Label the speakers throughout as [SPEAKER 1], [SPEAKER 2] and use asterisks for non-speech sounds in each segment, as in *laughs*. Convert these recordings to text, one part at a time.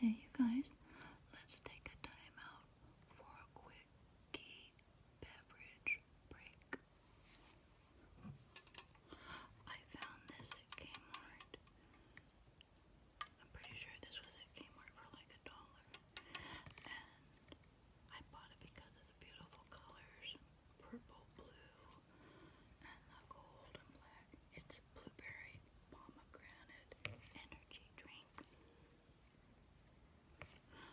[SPEAKER 1] Hey, you guys, let's take a time out for a quickie beverage break. I found this at Kmart. I'm pretty sure this was at Kmart for like a dollar. And I bought it because of the beautiful colors purple, blue, and the gold and black. It's blueberry pomegranate energy drink.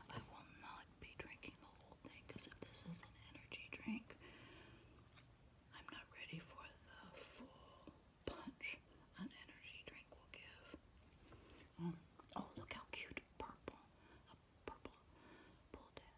[SPEAKER 1] I will not be drinking the whole thing because if this is an energy drink, I'm not ready for the full punch an energy drink will give. Um, oh, look how cute! Purple, a purple pull tab.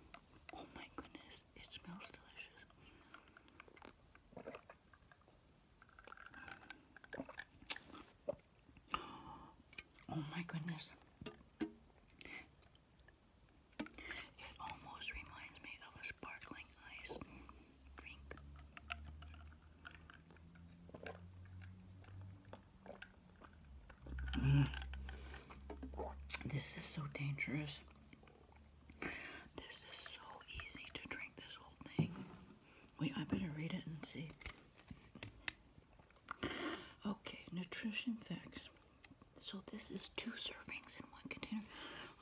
[SPEAKER 1] Oh my goodness, it smells delicious. *gasps* Oh my goodness. It almost reminds me of a sparkling ice drink. Mm. This is so dangerous. This is so easy to drink this whole thing. Wait, I better read it and see. Okay, nutrition facts. So this is two servings in one container.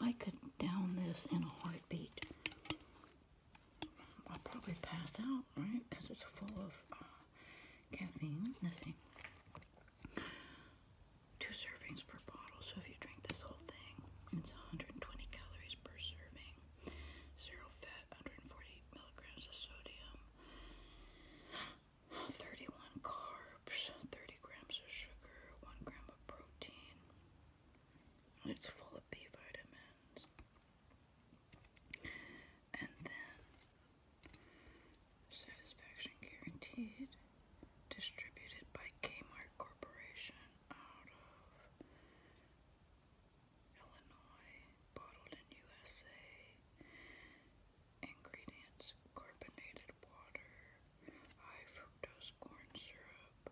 [SPEAKER 1] I could down this in a heartbeat. I'll probably pass out, right? Because it's full of... Uh, caffeine. Nothing. Two servings per bottle. So if you drink this whole thing, it's 120 calories per serving. Zero fat, 140 milligrams of sodium, 31 carbs, 30 grams of sugar, 1 gram of protein. It's full of B vitamins. And then satisfaction guaranteed, distributed by Kmart Corporation out of Illinois, bottled in USA. Ingredients carbonated water, high fructose corn syrup,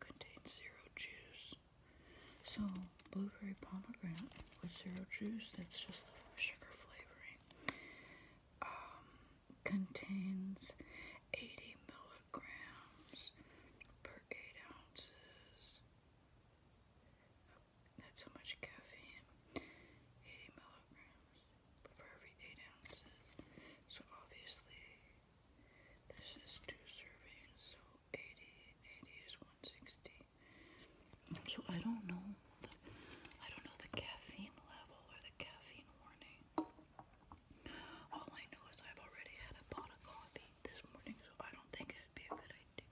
[SPEAKER 1] contains zero juice. So, blueberry pomegranate with zero juice, that's just the sugar flavoring, um, contains 80 milligrams per 8 ounces. That's how much caffeine. 80 milligrams for every 8 ounces. So obviously, this is 2 servings, so 80, is 160. So I don't know, the, I don't know the caffeine level or the caffeine warning. All I know is I've already had a pot of coffee this morning, so I don't think it'd be a good idea.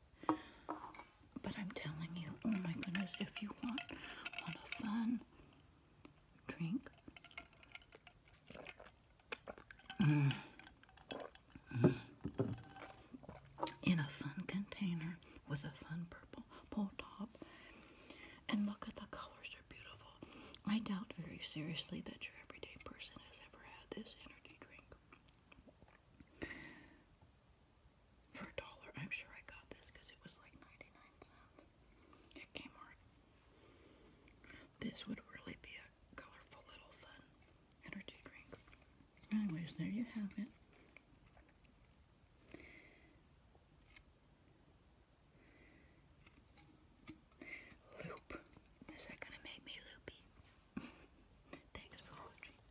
[SPEAKER 1] But I'm telling you, oh my goodness, if you want, want a fun, drink. Mm. In a fun container with a fun purple pull top. And look at the colors, they're beautiful. I doubt very seriously that your everyday person has ever had this energy drink. For a dollar, I'm sure I got this because it was like 99 cents. This would really be a colorful little fun energy drink. Anyways, there you have it. Loop. Is that going to make me loopy? *laughs* Thanks for watching.